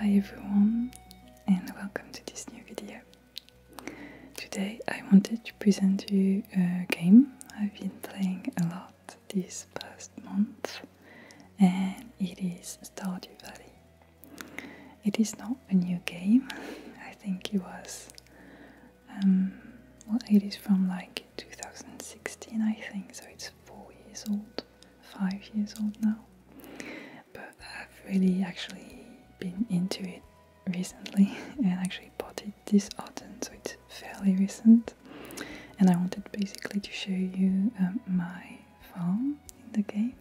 Hi everyone and welcome to this new video. Today I wanted to present you a game I've been playing a lot this past month and it is Stardew Valley. It is not a new game, I think it was, um, well it is from like 2016 I think, so it's 4 years old, 5 years old now. But I've really actually been into it recently and actually bought it this autumn so it's fairly recent and I wanted basically to show you um, my farm in the game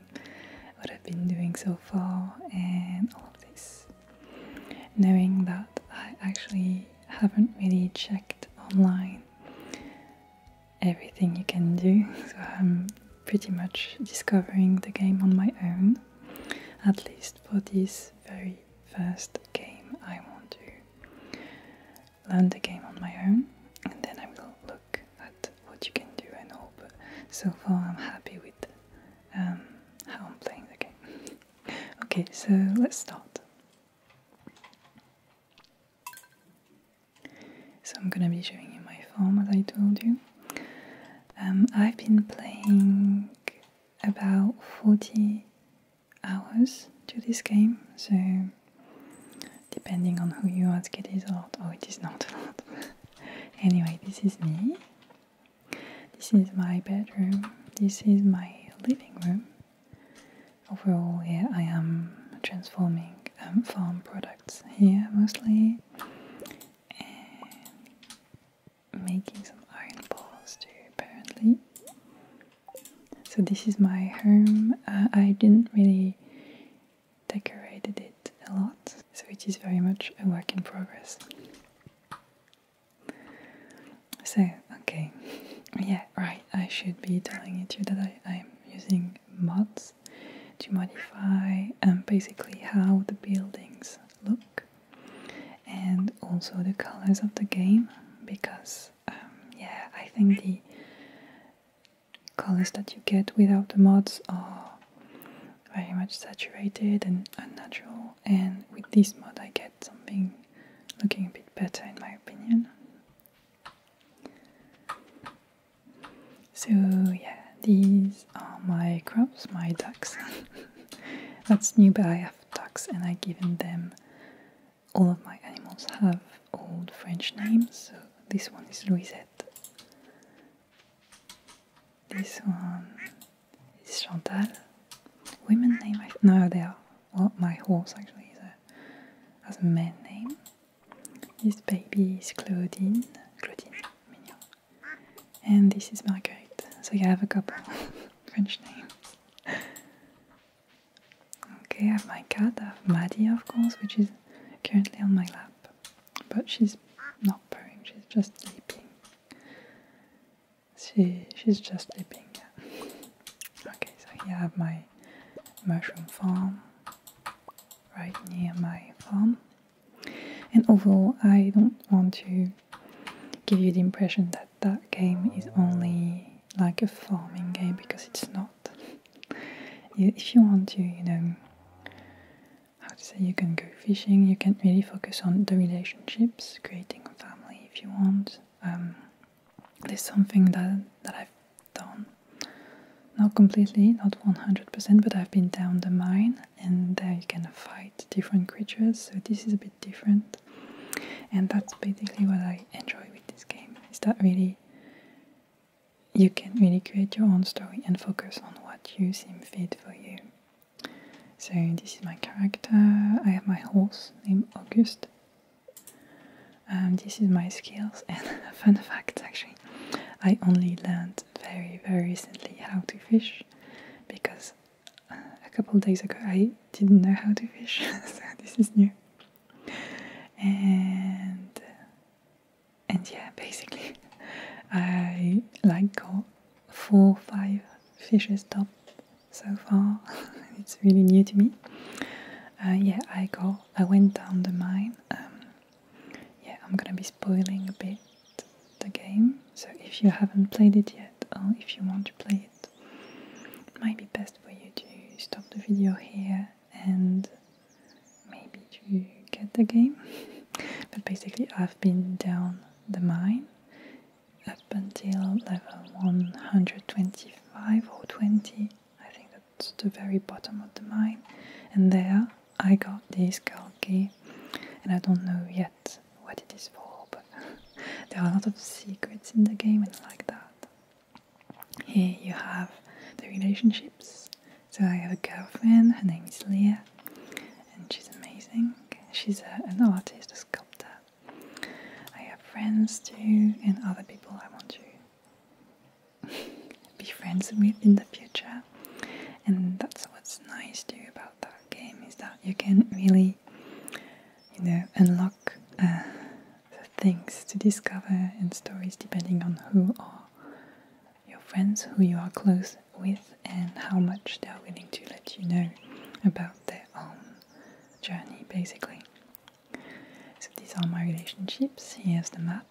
what I've been doing so far and all this knowing that I actually haven't really checked online everything you can do so I'm pretty much discovering the game on my own at least for this very first game I want to learn the game on my own and then I will look at what you can do and hope so far I'm happy with um, how I'm playing the game. okay, so let's start. So I'm gonna be showing you my farm as I told you. Um, I've been playing about 40 hours to this game, so depending on who you ask, it is a lot or it is not a lot. anyway, this is me. This is my bedroom. This is my living room. Overall, yeah, I am transforming um, farm products here mostly making some iron bars too, apparently. So this is my home. Uh, I didn't really decorated it a lot, so it is very much a work in progress. So, okay, yeah, right, I should be telling it you that I, am using mods to modify um, basically how the buildings look and also the colors of the game because um, yeah I think the colors that you get without the mods are very much saturated and unnatural and with this mod I get something looking a bit better in my opinion. So yeah, these are uh, my crops, my ducks. That's new, but I have ducks and I've given them. All of my animals have old French names, so this one is Louisette. This one is Chantal. Women name, I no, they are. Well, my horse actually has a man name. This baby is Claudine. Claudine, mignon. And this is Marguerite. So you have a couple French names. Okay, I have my cat, I have Maddie of course, which is currently on my lap. But she's not purring, she's just sleeping. She she's just sleeping, Okay, so here I have my mushroom farm right near my farm and overall, I don't want to give you the impression that that game is only like a farming game because it's not. if you want to, you know, how to say, you can go fishing, you can really focus on the relationships, creating a family if you want. Um, there's something that, that I've done. Not completely, not 100%, but I've been down the mine and there you can fight different creatures so this is a bit different and that's basically what I enjoy with this game is that really you can really create your own story and focus on what you seem fit for you. So this is my character. I have my horse named August. Um, this is my skills and fun fact actually. I only learned very very recently how to fish because uh, a couple days ago I didn't know how to fish, so this is new. And uh, and yeah, basically, I like got four, five fishes top so far. it's really new to me. Uh, yeah, I go. I went down the mine. Um, yeah, I'm gonna be spoiling a bit the game. So if you haven't played it yet, or if you want to play it, it might be best for you to stop the video here and maybe to get the game. but basically, I've been down the mine up until level 125 or 20. I think that's the very bottom of the mine, and there I got this Galgi and I don't know yet what it is for, but there are a lot of secrets in the game and like that. Here you have the relationships. So I have a girlfriend, her name is Leah, and she's amazing. She's an artist, a sculptor. I have friends too, and other people I want to be friends with in the future, and that's what's nice too about that game is that you can really, you know, unlock uh, things to discover and stories depending on who are your friends, who you are close with, and how much they are willing to let you know about their own journey, basically. So these are my relationships. Here's the map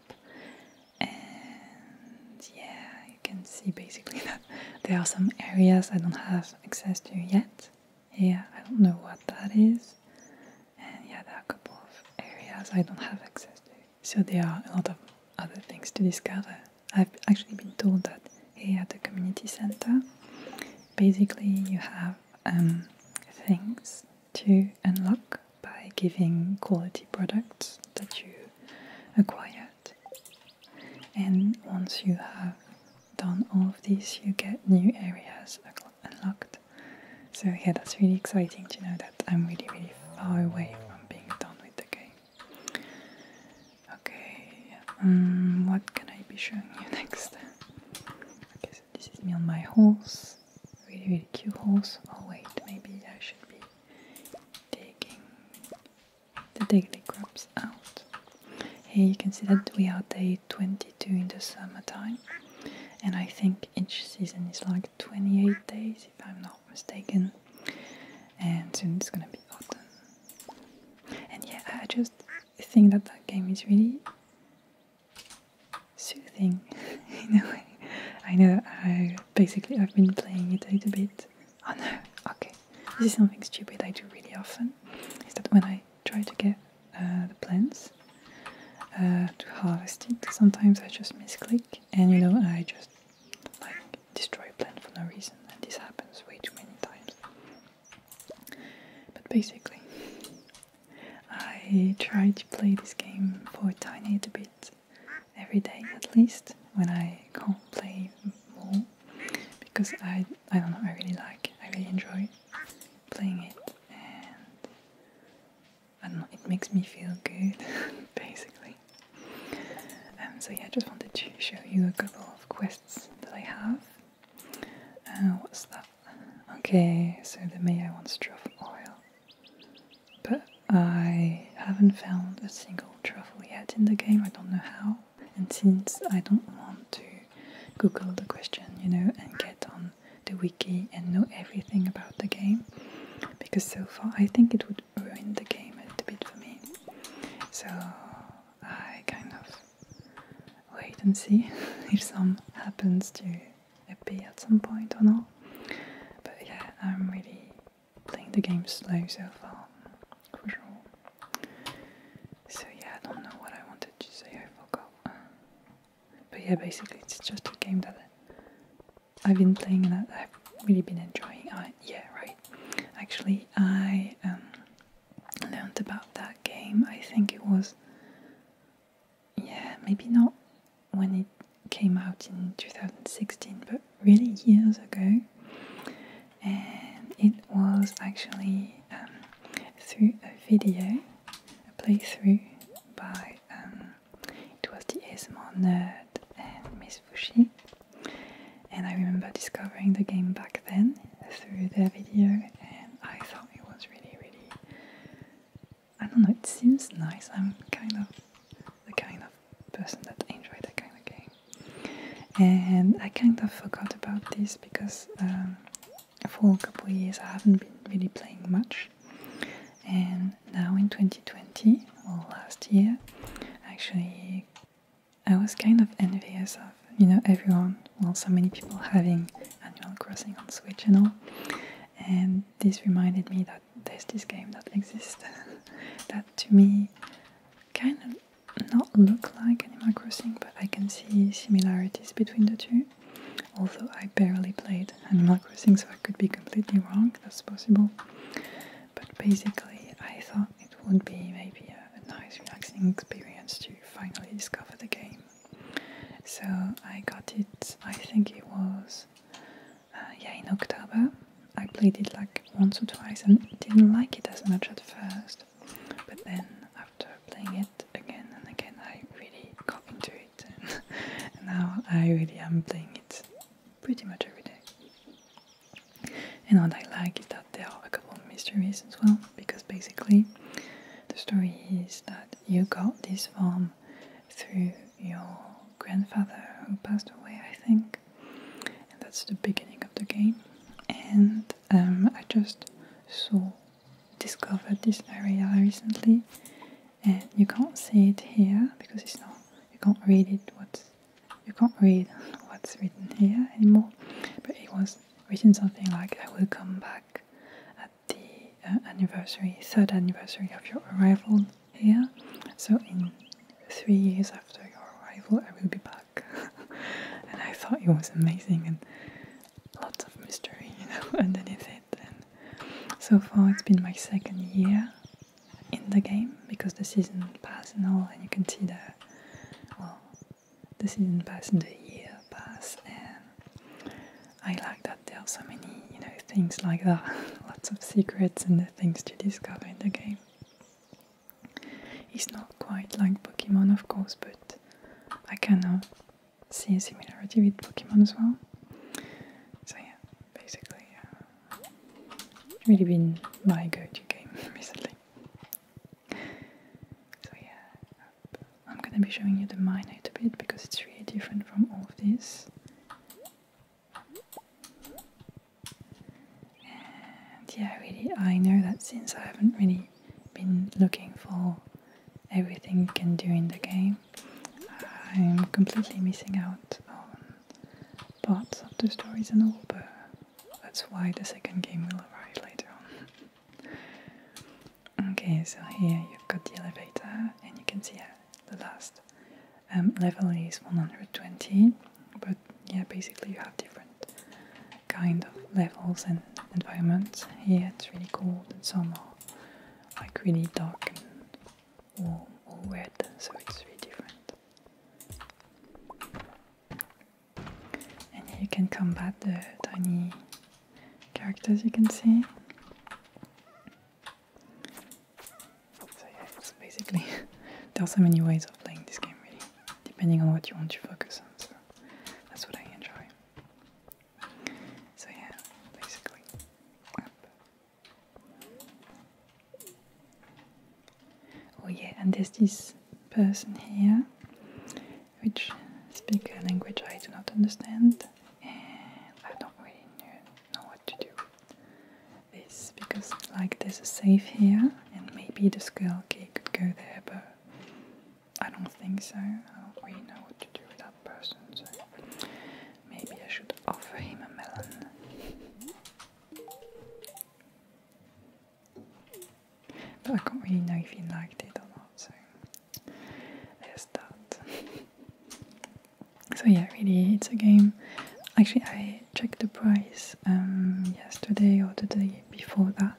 and yeah, you can see basically that there are some areas I don't have access to yet. Yeah, I don't know what that is, and yeah, there are a couple of areas I don't have access to. So there are a lot of other things to discover. I've actually been told that here at the community center, basically you have um, things to unlock by giving quality products that you acquire and once you have done all of these, you get new areas unlocked. So yeah, that's really exciting to know that I'm really, really far away from being done with the game. Okay, um, what can I be showing you next? Okay, so this is me on my horse. Really, really cute horse. Oh wait, maybe I should be taking the daily crops out. Here you can see that we are day 22 in the summertime, and I think each season is like 28 days, if I'm not mistaken. And soon it's gonna be autumn. And yeah, I just think that that game is really soothing in a way. I know I basically I've been playing it a little bit Oh no, okay. This is something stupid I do really often. Is that when I try to get uh, the plants uh, to harvest it, sometimes I just misclick and you know I just like destroy a plant for no reason, and this happens way too many times. But basically, I try to play this game for a tiny bit every day at least when I can't play more because I I don't know I really like I really enjoy playing it and I don't know it makes me feel good basically. And um, so yeah, I just wanted to show you a couple of quests that I have. Uh, what's that? Okay, so the mayor wants to drop oil but I haven't found a single truffle yet in the game, I don't know how. And since I don't want to Google the question, you know, and get on the wiki and know everything about the game, because so far I think it would ruin the game a bit for me. So I kind of wait and see if some happens to appear at some point or not. But yeah, I'm really playing the game slow so far, for sure. So yeah, I don't know what I wanted to say, I forgot. But yeah, basically it's just a game that I've been playing and I've really been enjoying. I, yeah, right. Actually, I um, learned about that game. I think it was, yeah, maybe not when it came out in 2016, but really years ago. And it was actually um, through a video, a playthrough by, um, it was the ASMR Nerd and Miss Fushi. And I remember discovering the game back then through their video, and I thought it was really, really. I don't know, it seems nice. I'm kind of the kind of person that enjoy that kind of game. And I kind of forgot about this because um, for a couple of years I haven't been really playing much. And now in 2020, or last year, actually I was kind of envious of, you know, everyone, well, so many people having Animal Crossing on Switch and all. And this reminded me that there's this game that exists that to me kind of not look like Animal Crossing, but I can see similarities between the two. Although I barely played Animal Crossing, so I could be completely wrong, that's possible. But basically, I thought it would be maybe a, nice, relaxing experience to finally discover the game. So I got it, I think it was uh, yeah, in October. I played it like once or twice and didn't like it as much at first, but then after playing it again and again, I really got into it, and, now I really am playing it pretty much every day. And what I like is that there are a couple of mysteries as well, because basically the story is that you got this farm through your grandfather who passed away, I think. And that's the beginning of the game. And um, I just saw, discovered this area recently, and you can't see it here because it's not. You can't read it. What's you can't read what's written here anymore. But it was written something like, "I will come back at the uh, anniversary, third anniversary of your arrival yeah, so in three years after your arrival, I will be back. and I thought it was amazing and lots of mystery, you know, underneath it. And so far, it's been my second year in the game because the season pass and all, and you can see the well, the season pass the year pass. And I like that there are so many, you know, things like that, lots of secrets and things to discover in the game. It's not quite like Pokemon, of course, but I can uh, see a similarity with Pokemon as well. So yeah, basically, uh, really been my go-to game recently. So yeah, I'm gonna be showing you the mine a bit because it's really different from all of these yeah, really, I know that since I haven't really been looking for everything you can do in the game, I'm completely missing out on parts of the stories and all, but that's why the second game will arrive later on. okay, so here you've got the elevator, and you can see uh, the last um, level is 120 but yeah basically you have different kind of levels and environments here it's really cold and some are like really dark and warm or wet so it's really different and you can combat the tiny characters you can see so yeah, basically there are so many ways of playing this game really, depending on what you want to focus on. So that's what I enjoy. So yeah, basically. Oh yeah, and there's this person here which speak a language I do not understand and I don't really know what to do this because like there's a safe here and maybe the skull key could go there but I don't think so. I know what to do with that person so maybe I should offer him a melon. But I can't really know if he liked it or not that. so yeah, really, it's a game. Actually, I checked the price um, yesterday or the day before that,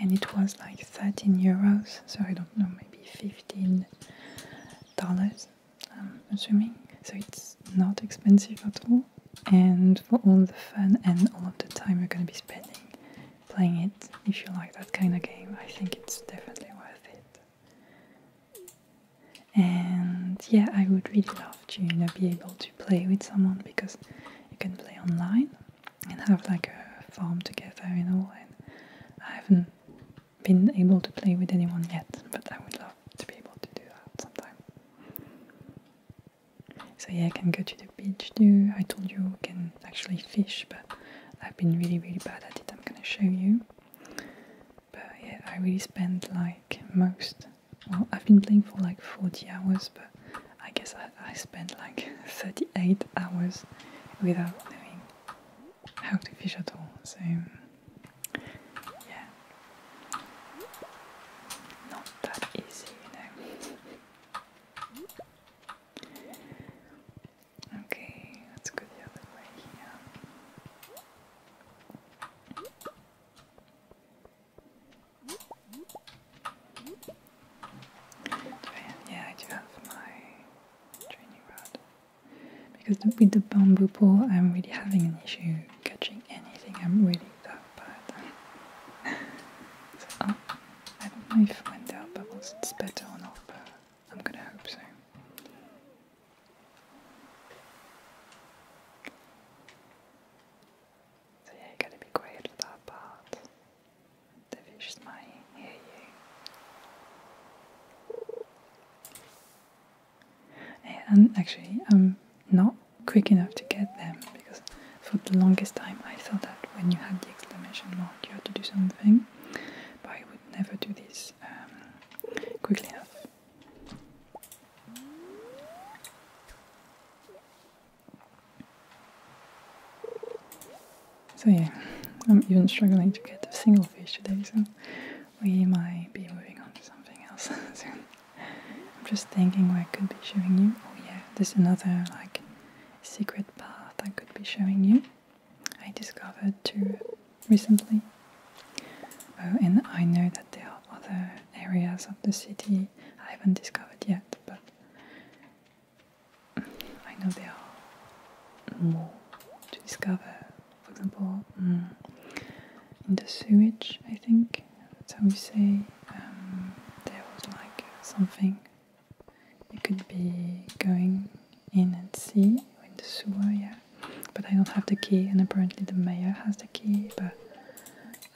and it was like 13 euros. So I don't know, maybe 15 dollars. I'm assuming. So it's not expensive at all, and for all the fun and all of the time you're gonna be spending playing it, if you like that kind of game, I think it's definitely worth it. And yeah, I would really love to be able to play with someone because you can play online and have like a farm together you know. And I haven't been able to play with anyone yet, but I would love to be able to do that sometime. So yeah, I can go to the beach too. I told you I can actually fish, but I've been really really bad at it. I'm gonna show you. But yeah, I really spend like most. Well, I've been playing for like 40 hours, but I guess I, I spent like 38 hours without knowing how to fish at all. So, yeah, not that easy, you know. Okay, let's go the other way here. Yeah, I do have my training rod. Because with the bamboo pole, I'm really having an issue catching anything. I'm really bad. oh, I don't know if when there are it's better or not, I'm gonna hope so. So yeah, you gotta be quiet for that part. The fishes might hear you. and actually, I'm not quick enough to get them because for the longest time I thought that when you had the exclamation mark, you had to do something, never do this um, quickly enough. So yeah, I'm even struggling to get a single fish today, so we might be moving on to something else soon. I'm just thinking what I could be showing you. Oh yeah, there's another like secret path I could be showing you. I discovered too recently. Uh, and I know that there are other areas of the city I haven't discovered yet, but I know there are more to discover. For example, mm, in the sewage, I think that's how we say um, there was like something. It could be going in and see in the sewer, yeah. But I don't have the key, and apparently the mayor has the key, but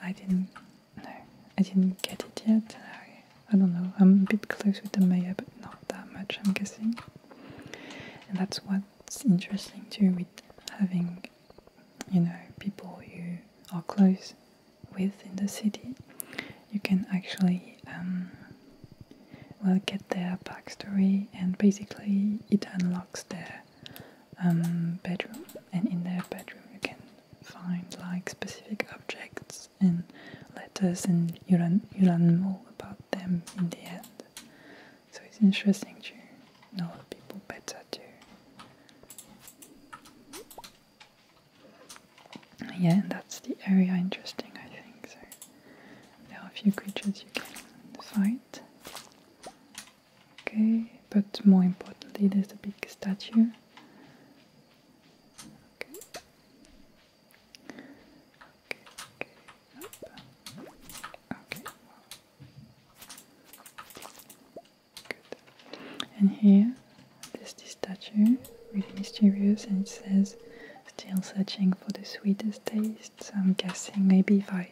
I didn't. No, I didn't get it yet. I, I don't know. I'm a bit close with the mayor, but not that much, I'm guessing. And that's what's interesting too with having, you know, people you are close with in the city. You can actually um, will get their backstory and basically it unlocks their um, bedroom and in their bedroom you can find like specific objects and letters and you learn, you learn more about them in the end. So it's interesting to know people better too. Yeah, and that's the area interesting I think so. There are a few creatures you can find, Okay, but more importantly, there's the big statue. Okay. Okay. Okay. Good. And here, there's this statue, really mysterious, and it says, "Still searching for the sweetest taste." So I'm guessing maybe if I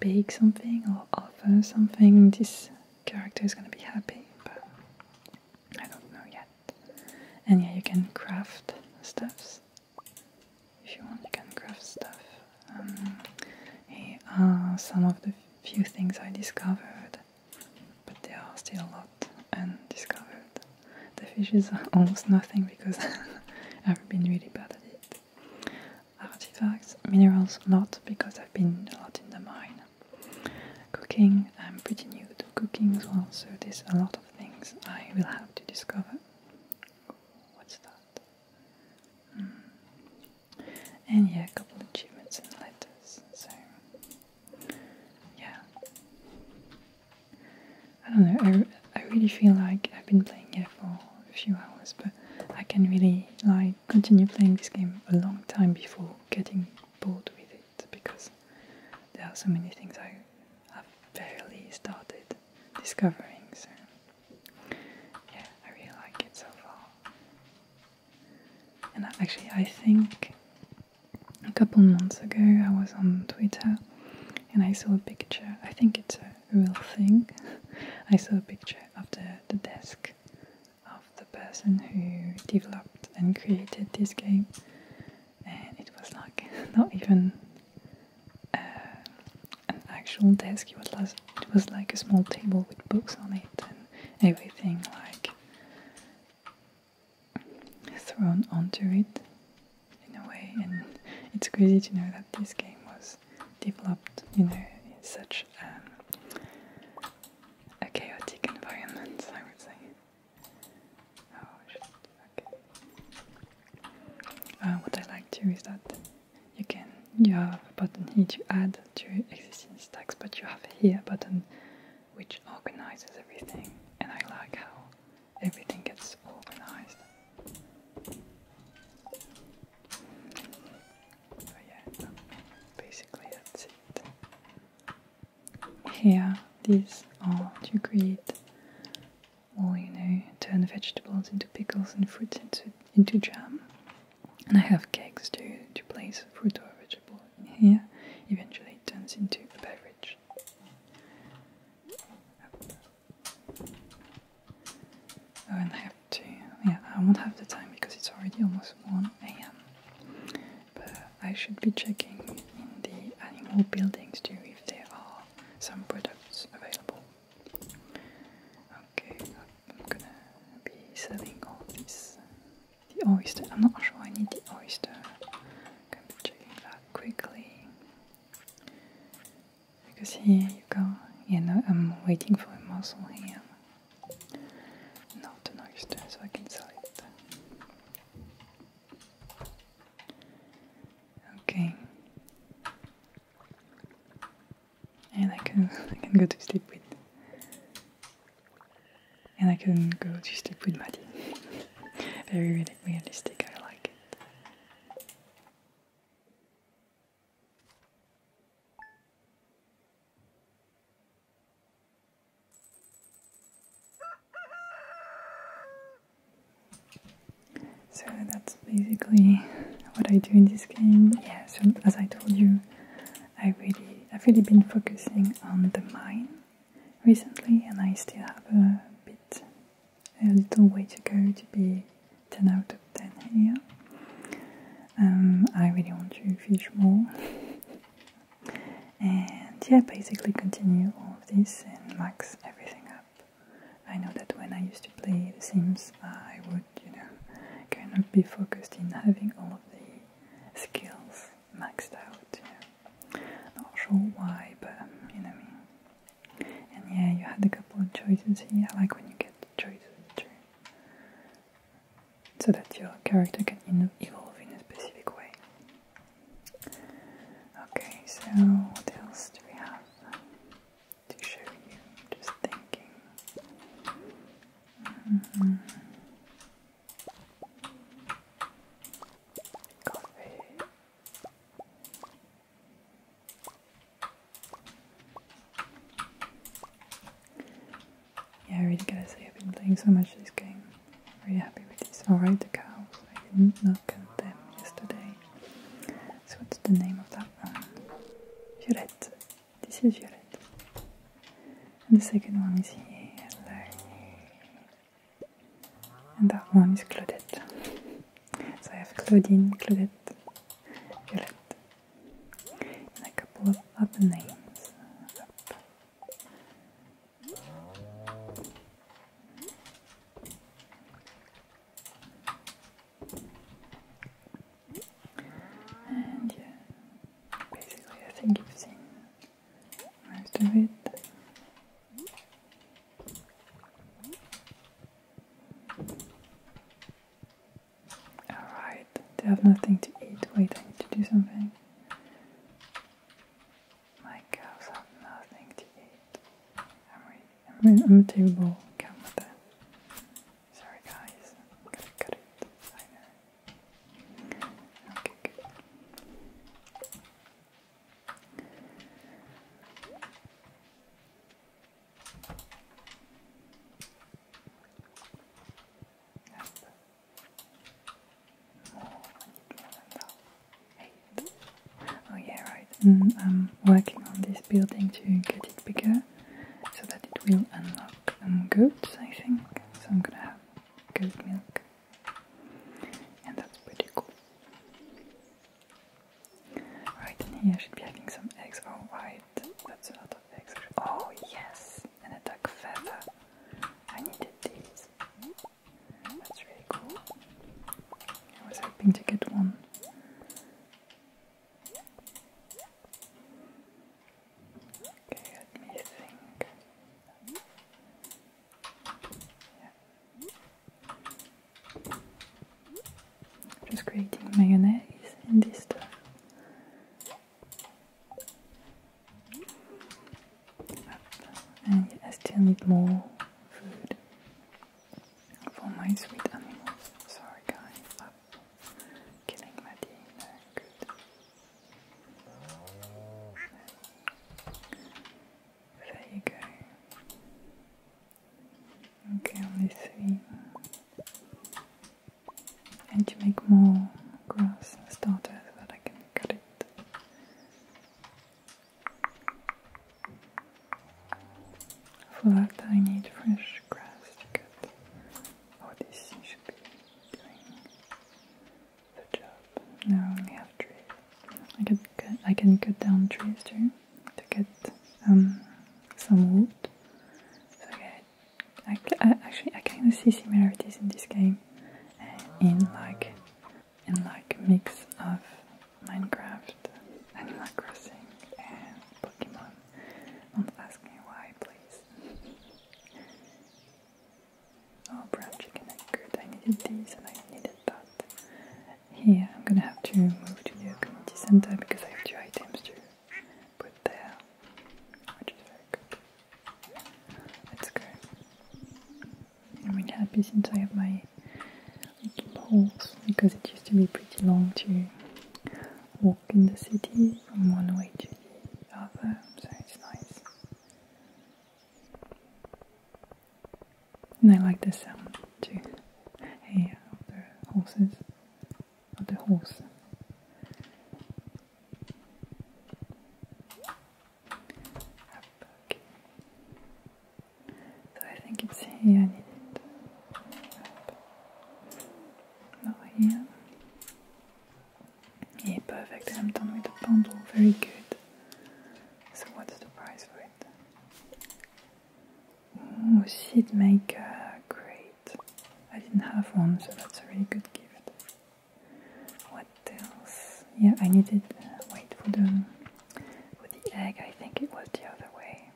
bake something or offer something, this character is gonna be happy, but I don't know yet. And yeah, you can craft stuffs. If you want, you can craft stuff. Um, here are some of the few things I discovered, but there are still a lot undiscovered the fish is almost nothing because I've been really bad at it. Artifacts, minerals, not because I've been a lot in the mine. Cooking, I'm pretty new to cooking as well, so there's a lot of things I will have to discover. what's that? Hmm. And yeah, a couple of achievements and letters. So, yeah. I don't know, I, really feel like I've been playing it for a few hours, but I can really like continue playing this game a long time before getting bored with it because there are so many things I have barely started discovering. So yeah, I really like it so far. And actually, I think a couple months ago I was on Twitter and I saw a picture, I think it's a real thing. I saw a picture of the, the desk of the person who developed and created this game, and it was like not even uh, an actual desk, it was like a small table with books on it and everything like thrown onto it in a way and it's crazy to know that this game was developed in such um, a chaotic environment I would say oh, uh, what I like too is that you can you have a button here to add to existing stacks but you have here a button which organizes everything and I like how everything gets organized. So yeah, basically that's it. Here, these are to create or you know, turn vegetables into pickles and fruits into, into jam. And I have cakes to, to place fruit or vegetable here. Eventually it turns into a beverage. Oh, I won't have to. Yeah, I won't have the time because it's already almost 1 a.m. But I should be checking in the animal buildings too if there are some products available. Okay, I'm gonna be selling all this. The oyster, I'm not sure I need the oyster. checking that quickly. Because here you go. Yeah, no, I'm waiting for a muscle here. Not an oyster, so I can sell it. Okay. And I can go to sleep with and I can go to sleep with Maddie. Very relaxing really realistic, I like it. So that's basically what I do in this game. Yeah, so as I told you, I really I've really been focusing on the mine recently, and I still have a bit, a little way to go to be 10 out of 10 here. Um, I really want to fish more. and yeah, basically continue all of this and max everything up. I know that when I used to play The Sims, I would, you know, kind of be focused in having all of the skills maxed out. Yeah. Not sure why, but um, you know me. And yeah, you had a couple of choices here. I like when you get choices too, so that your character can evolve in a specific way. Okay, so what else do we have to show you? Just thinking. Coffee. Mm-hmm. Yeah, I really gotta say, I've been playing so much this game. Really happy with this. Alright, the cows. I did not count them yesterday. So, what's the name of that one? Jurette. This is Violet. And the second one is here and that one is Claudette. So I have Claudine, Claudette, Violette, and a couple of other names. And yeah, basically I think you've seen most of it. Alright, they have nothing to eat. Wait, I need to do something. My cows have nothing to eat. I'm, really, I'm, I'm a terrible cow Sorry guys, I'm going cut it. Okay, good. Eight. Oh yeah, right. And mm, I'm working on this building to get it bigger so that it will unlock um, goats, I think. So I'm gonna have goat milk and that's pretty cool. Right in here should be having some eggs. Oh right, that's a Oh yes, and a duck feather. I needed these. That's really cool. I was hoping to get one. Okay, let me think. Just creating mayonnaise in this stuff. And I still need more food for my sweet animals. Sorry guys, killing my dinner. Good. There you go. Okay, only three. And to make more grass starter that I can cut it. For that I need fresh grass to cut. Oh, this should be doing Good job. Now I have trees. I can cut, I can cut down trees too to get um, some wood. So okay, I, I, actually I kind of see similarities in this game uh, in like in like mix of Minecraft, and like Crossing, and Pokemon. Don't ask me why, please. Oh, brown chicken egg, I needed these and I needed that. Here, I'm gonna have to move to the community center because I have two items to put there, Let's go. I'm really happy since I have my little because it used to be pretty long to walk in the city from one way to the other, so it's nice. And I like the sound too. Hey, uh, of the horses, of the horse. So I think it's here I need it. Not here. Yeah, perfect. I'm done with the bundle. Very good. So what's the price for it? Oh, she'd sheet maker. Great. I didn't have one, so that's a really good gift. What else? Yeah, I needed... Uh, wait, for the, for the egg, I think it was the other way.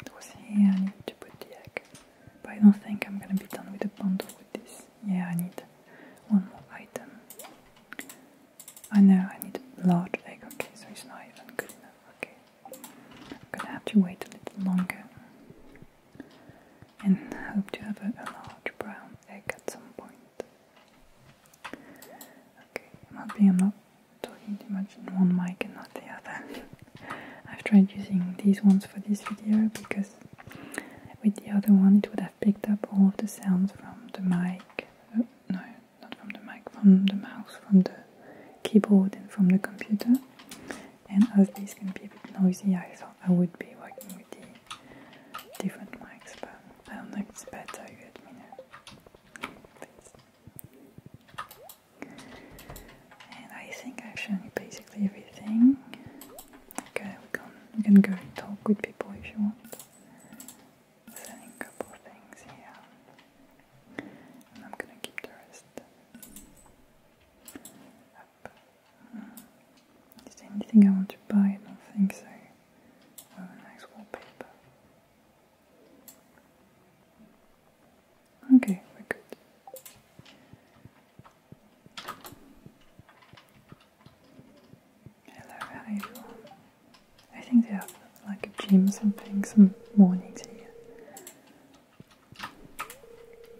It I needed to put the egg. But I don't think I'm gonna be done with the bundle with this. Yeah, I need one more item. I know I need a large egg. Okay, so it's not even good enough. Okay, I'm gonna have to wait a little longer and hope to have a, large brown egg at some point. Okay, I'm hoping I'm not talking too much in one mic and not the other. I've tried using these ones for this video because with the other one it would have picked up all the sounds from the mic, oh, no, not from the mic, from the mouse, from the keyboard, and from the computer. And as this can be a bit noisy, I thought I would be working with the different mics, but I don't know if it's better, you let me know. And I think I've shown you basically everything. Okay, we can we can go talk with people if you want. Selling a couple of things here, and I'm gonna keep the rest Is there anything I want to buy? Nothing, so. Oh, nice wallpaper. Okay, we're good. I love how you I think they have like a gym or something some morning here.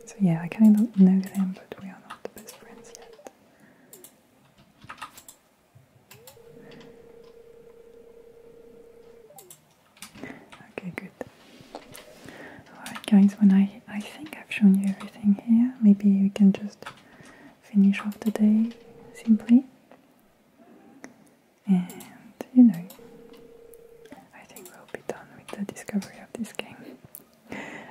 So yeah, I kind of know them, but we are not the best friends yet. Okay, good. Alright guys, when I I think I've shown you everything here. Maybe you can just finish off the day simply. And you know, I think we'll be done with the discovery of this game.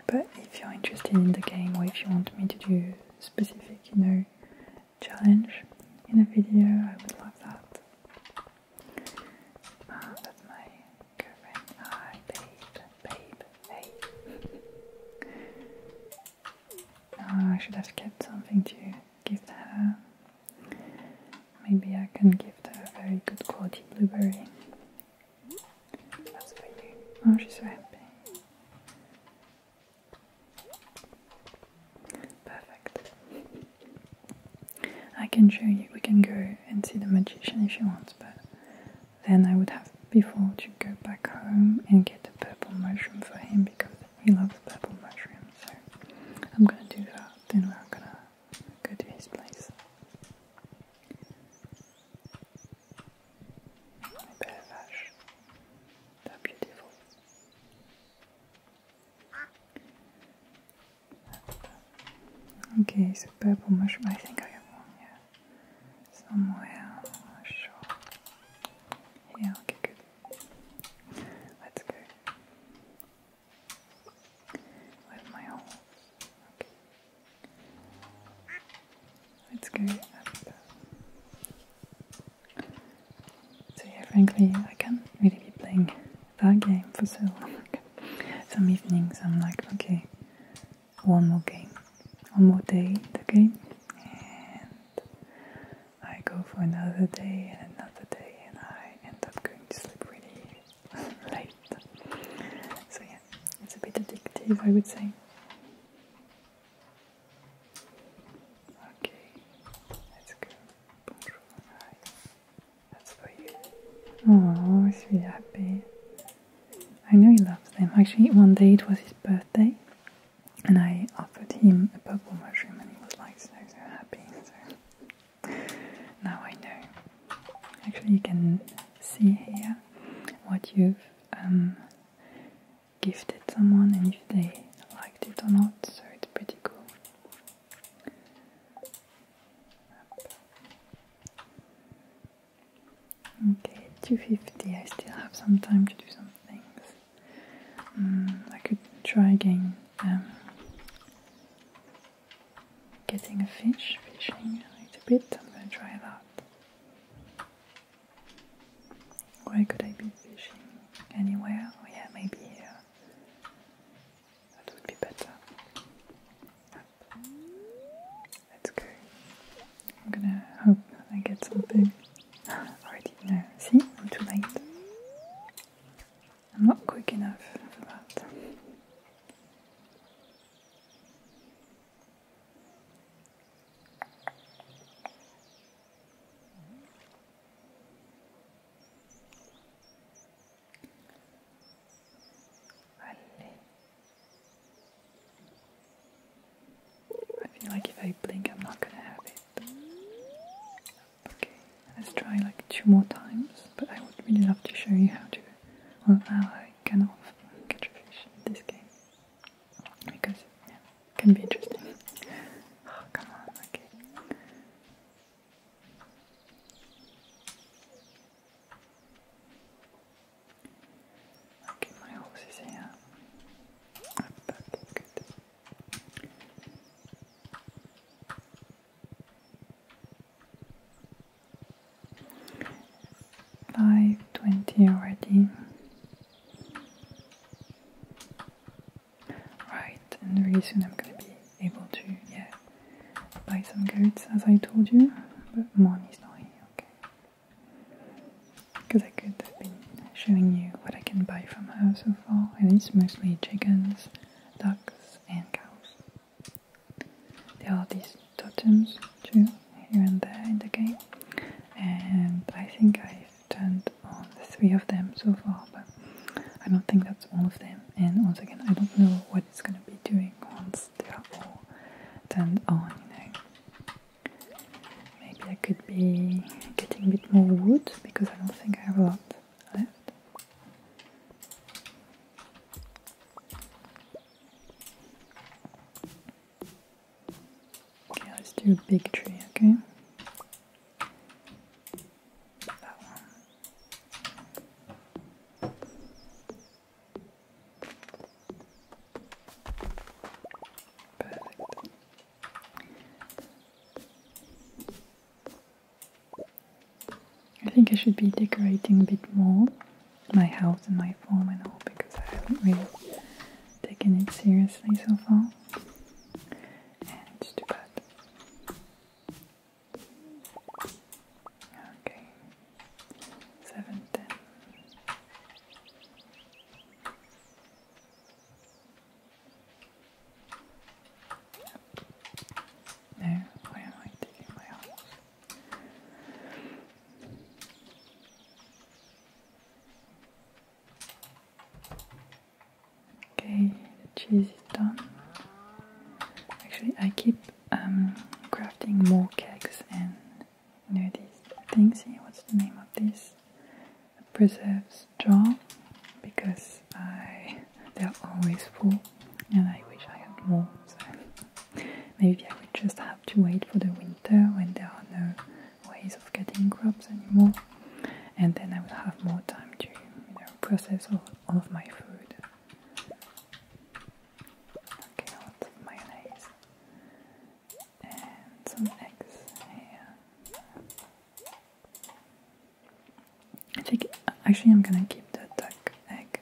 But if you're interested in the game or if you want me to do specific, you know, challenge in a video, I would love that. Ah, uh, that's my girlfriend. Hi, babe, babe. Oh, I should have kept something to give her. Maybe I can give her a very good quality blueberry. That's for you. Oh, she's so happy. Perfect. I can show you, we can go and see the magician if she wants, but then I would have before to go back home and get the purple mushroom for him because he loves purple mushrooms. So I'm gonna do that, then we're gonna go to his place. My bear vash. beautiful. Okay, so purple mushroom. I think I have one, yeah somewhere ashore. Yeah, okay, good. Let's go. With my horse. Okay. Let's go up. So yeah, frankly, I can't really be playing that game for so long. Some evenings I'm like, okay, one more game, one more day in the game, and I go for another day and another day, and I end up going to sleep really late. So, yeah, it's a bit addictive, I would say. Okay, let's go. Bonjour, hi. That's for you. Oh, she's I know he loves them. Actually, one day it was his birthday, and I offered him a purple mushroom, and he was like so so happy. So now I know. Actually, you can see here what you've um, gifted someone and if they liked it or not. So it's pretty cool. Okay, 250. I still have some time to do some things. Mm, I could try again um, getting a fish, fishing a little bit. I'm going to try that. Where could I be fishing? Anywhere? Oh, yeah, maybe here. That would be better up. That's good. I'm gonna hope I get something. Already, no. See? I'm too late. I'm not quick enough for that. Allez, I feel like if I blink, I'm not gonna have it. Okay, let's try like two more times, but I would really love to show you how to, well, how I can often catch a fish in this game. Because, it can be interesting. Oh, come on, okay. Okay, my horse is here. Up back, good. Five twenty already. Right, and really soon I'm gonna be able to, yeah, buy some goods as I told you, but money's not here, okay because I could have been showing you what I can buy from her so far, and it's mostly chickens, ducks, and cows. There are these totems too here and there in the game, and I think I've turned on three of them so far, but I don't think that's all of them. And once again, I don't know what it's gonna be doing once they are all turned on, you know. Maybe I could be getting a bit more wood because I don't think I have a lot left. Okay, let's do a big tree, okay? I think I should be decorating a bit more my house and my farm and all because I haven't really taken it seriously so far. And it's too Okay. Seven ten. No, why am I Okay, the cheese is done. Actually, I keep um, crafting more cakes and you know these things here. What's the name of this? A preserves jar because I they're always full and I wish I had more. So maybe I would just have to wait for the winter when there are no ways of getting crops anymore, and then I will have more time to process all of my food. Okay, I want mayonnaise and some eggs I think actually I'm gonna keep the duck egg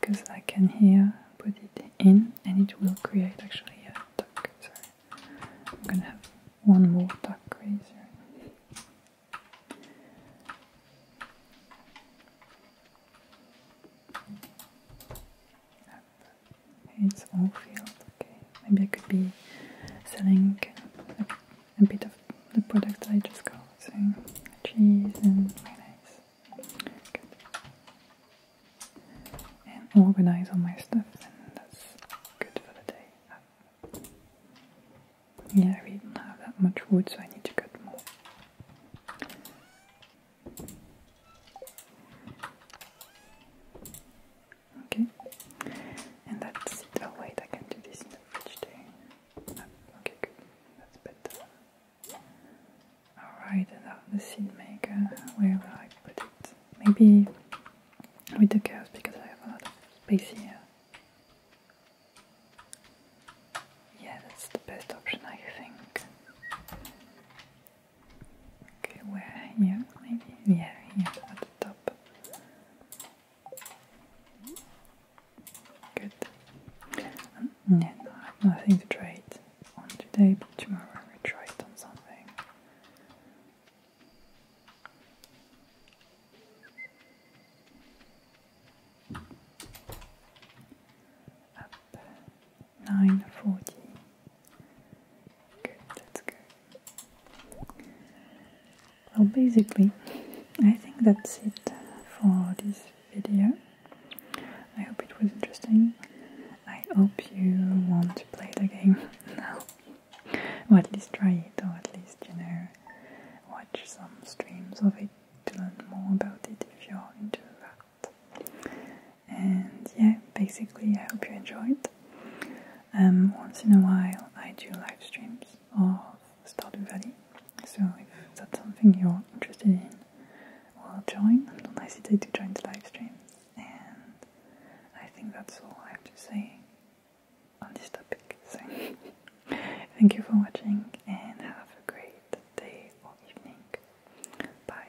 because I can here put it in and it will create actually a duck. Sorry, I'm gonna have one more duck razor. It's all field. Okay, maybe I could be selling a, bit of the product I just got, so cheese and mayonnaise. And organize all my stuff, and that's good for the day. Yeah, we don't have that much wood, so I need to cut more. Okay, and that's it. Oh, I can do this in the fridge too. Ah, okay, good. That's better. Alright, and now the seed maker. Where will I put it? Maybe with the cows because I have a lot here. Yeah, that's the best option, I think. Okay, where? Here, maybe? Yeah, here at the top. Good. Mm, yeah, I have nothing to trade on today, but tomorrow I will try it on something. Up. 9.40. Good, that's good. Well, basically, I think that's it uh, for this video. I hope it was interesting. I hope you want to play the game now. Or at least try it, or at least, you know, watch some streams of it to learn more about it if you're into that. And yeah, basically, I hope you enjoyed. Um, once in a while, I do live streams of Stardew Valley, so if that's something you're interested in, well, join. Don't hesitate to join the live stream. And I think that's all I have to say on this topic. So. Thank you for watching and have a great day or evening. Bye.